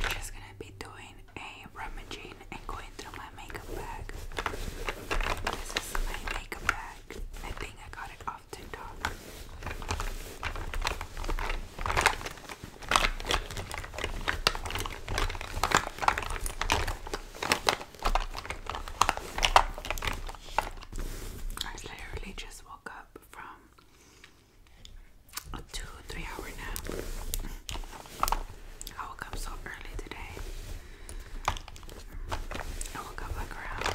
I'm just gonna be doing a rummaging and going through my makeup bag. This is my makeup bag. I think I got it off TikTok. I literally just woke up from a two, three hour nap. I woke up so early today. I woke up like around,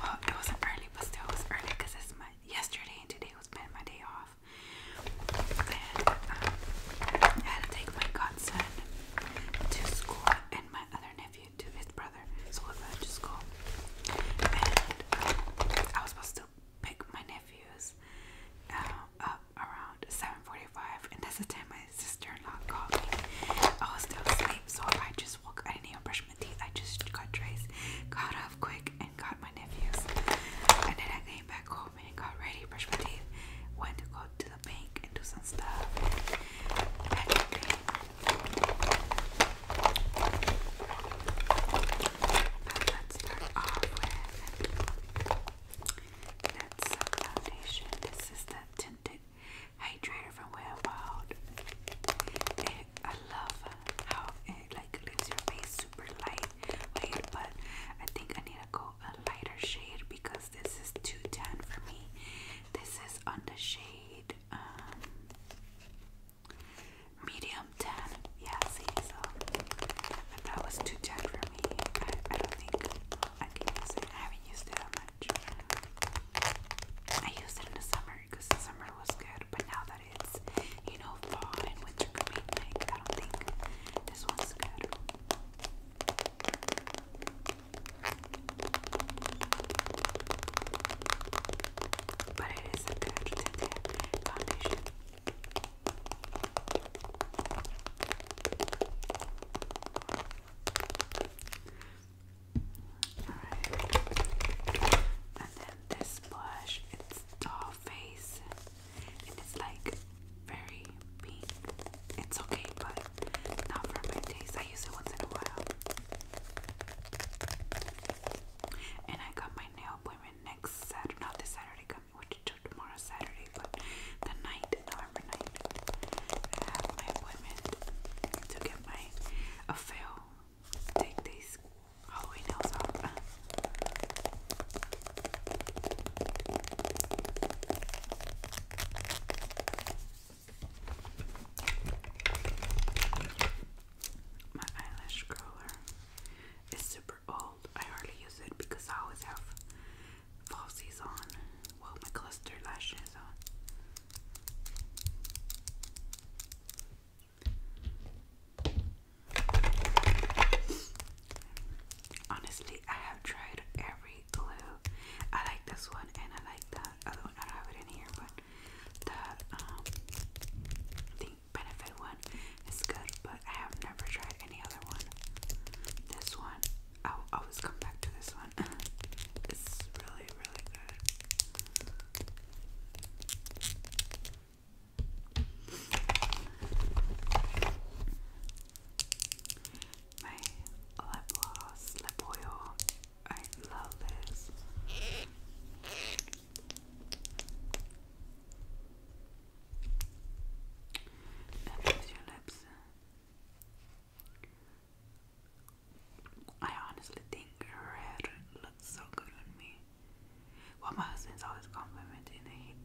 well, it wasn't early, but still it was early because it's my yesterday and today was been my day off. I um, had take my godson to school, and my other nephew to his brother, so we went to school. And um, I was supposed to pick my nephews uh, up around 7:45, and that's the time my sister-in-law called me. I was still asleep, so I just woke. I didn't even brush my teeth. I just got dressed, got up quick, and got my nephews. And then I came back home and got ready, brushed my teeth, went to go to to the bank and do some stuff let's start off with that's foundation. This is the tinted hydrator from Well Wild. I love how it like leaves your face super light. Wait, but I think I need to go a lighter shade because this is too tan for me. This is on the shade um, medium tan. Yeah, see, so if that was too tan for me, I, don't think I can use it. I haven't used it that much. I used it in the summer because the summer was good, but now that it's you know fall and winter coming, I don't think this one's good. But it is a good foundation. Alright. And then this blush, it's all face and it's like very pink. It's okay, but not for my taste. I use it once in a while. And I got my nail appointment next Saturday. Not this Saturday coming, which is tomorrow Saturday, but the night, November 9th. I have my appointment to get my a fail. Take these Halloween nails off. My eyelash curler is super old. I hardly use it because I always have falsies on. Well, my cluster lashes on. Honestly, I have tried every glue. I like this one and I like that other one. I don't have it in here, but the um the benefit one is good, but I have never tried any other one. This one, I'll always come back to this one. it's really, really good my lip gloss, lip oil. I love this. It your lips. I honestly think red looks so good on me. Well, my husband's always complimenting it.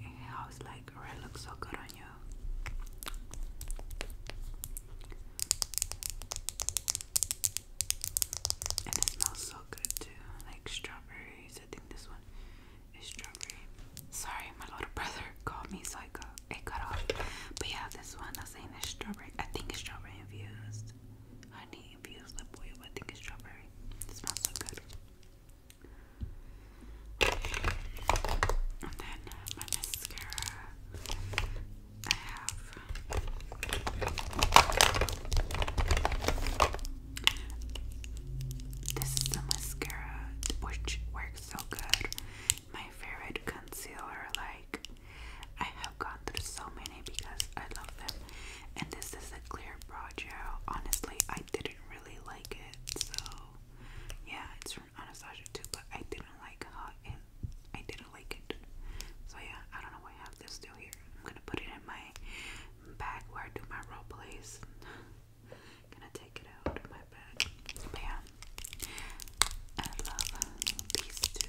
It I like, red looks so good on you. And it smells so good too, like strawberries. I think this one is strawberry. Sorry, my little brother called me, so I got it cut off. But yeah, this one I'm saying strawberry. I think it's strawberry infused, honey infused lip oil. I think it's strawberry. It smells so good. And then my mascara, I have this is the mascara which works so good. My favorite concealer, like I have gone through so many because I love them. And this is a clear brow gel. Honestly, I didn't really like it. So yeah, it's from Anastasia too, but I didn't like it. I didn't like it. So yeah, I don't know why I have this still here. I'm gonna put it in my bag where I do my role plays. gonna take it out of my bag. But I love these two.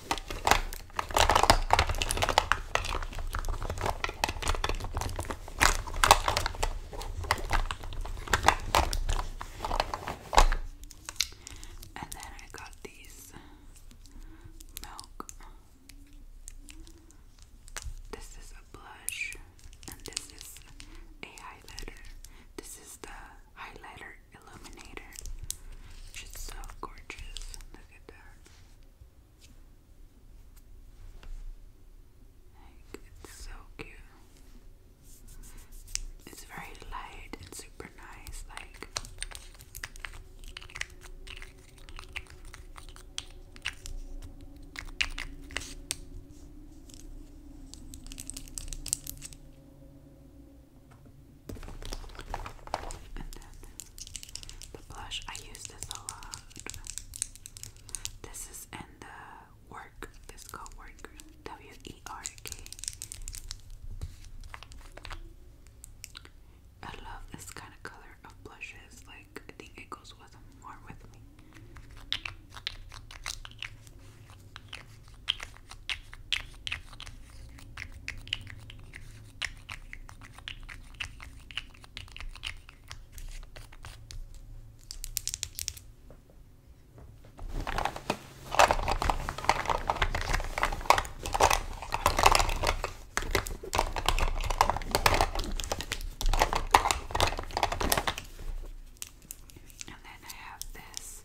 And then I got these milk. This is a blush, and this is a highlighter. This is the highlighter illuminator, which is so gorgeous. Look at that. it's so cute. It's very light and super nice. Like, and then the blush, I use this a lot. This is in the work, this called work, W E R K. I love this kind of color of blushes, like, I think it goes with more with me. And then I have this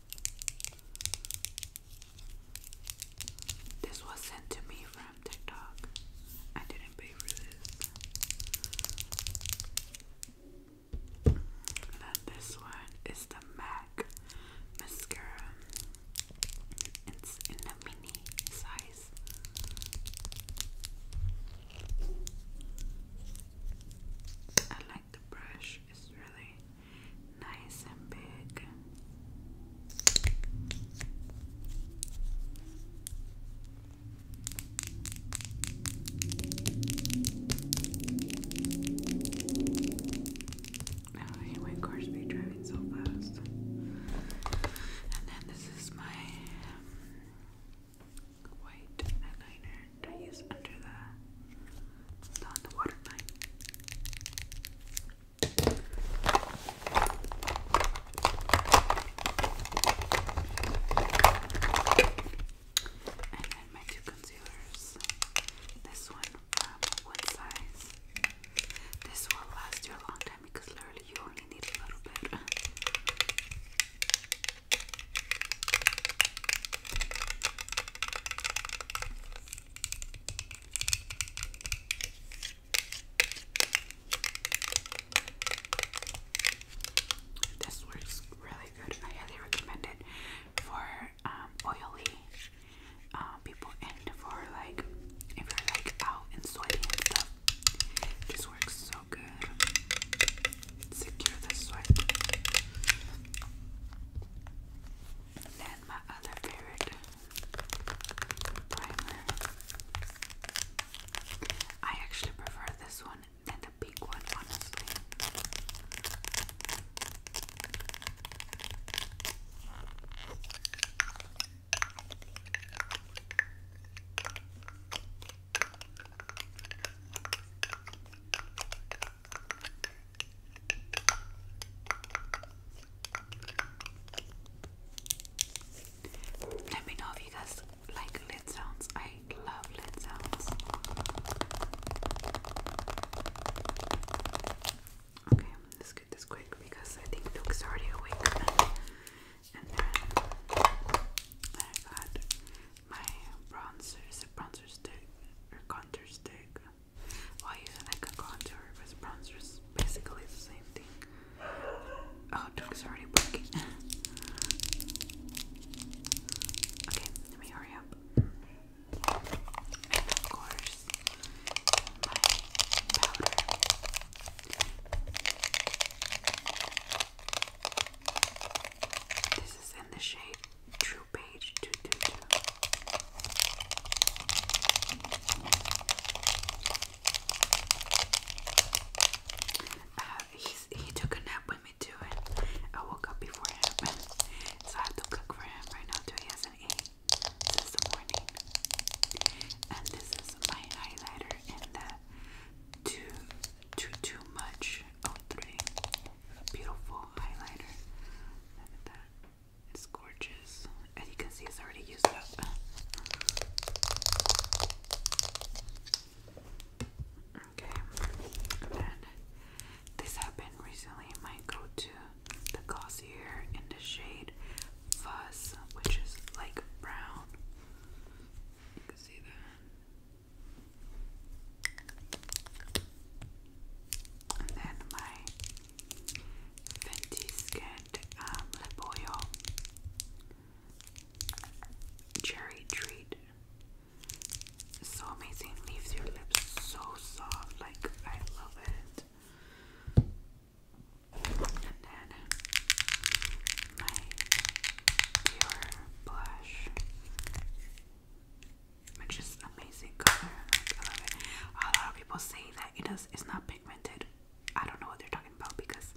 This was sent to me from TikTok. I didn't pay for this. then this one is the MAC mascara. It's in a mini size. I like the brush. It's really nice and big. Oh, I hate car speed driving so fast. And then this is my um, white eyeliner that I use under the and then my two concealers. This one um, One Size. This will last you a long time because literally you only need a little bit. This works really good. I highly recommend it for um, oily uh, people and for like if you're like out and sweating and stuff. This works so good. Secure the sweat then my other favorite primer. I actually prefer this one than the big one, let me know if you guys like lid sounds. I love lid sounds. Okay, let's get this quick because I think Luke's already awake. And then I got my bronzer, it's a bronzer stick or contour stick. While using like a contour with bronzer is basically the same thing. Oh, Duke's already booking. okay, let me hurry up. of course, my powder. This is in the shade uh, he took a nap with me too, and I woke up before it so I have to cook for him right now too. He hasn't eaten since morning. And this is my highlighter in the too, too, too much 03 a beautiful highlighter. Look at that. It's gorgeous. and you can see, it's already used up. Okay, and then this happened recently. My go to the Glossier in the shade Fuzz, which is like brown. You can see that. And then my Fenty Skinned um, Cherry Treat. So amazing, leaves your lips so soft, like I love it. And then my Dior blush which is amazing color. I love it. A lot of people say that it does. It's not pigmented. I don't know what they're talking about because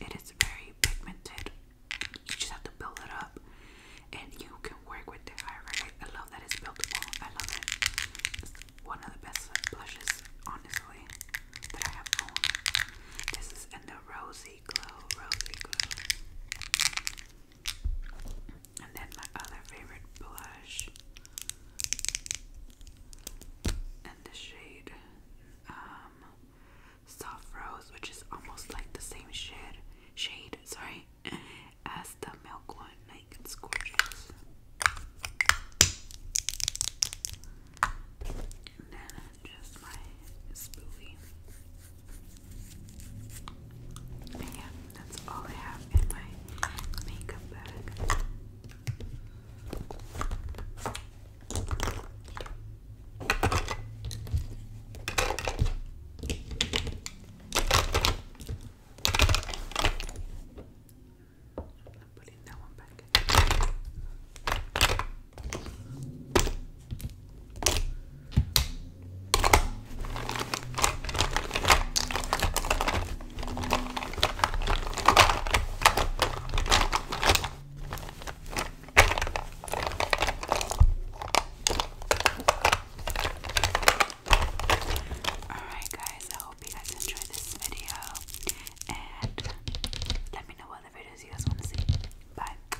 it is very pigmented. You just have to build it up, and you can work with it. I I love that it's buildable. I love it. one of the best blushes, honestly, that I have owned. This is in the rosy glow, rosy glow. And then my other favorite blush and the shade um soft rose which is almost like the same shade shade sorry as the milk one like it's gorgeous and then just my spoolie but yeah, that's all I have in my makeup bag. I'm not putting that one back. Alright, guys, I hope you guys enjoyed this video. And let me know what other videos you guys want to see. Bye.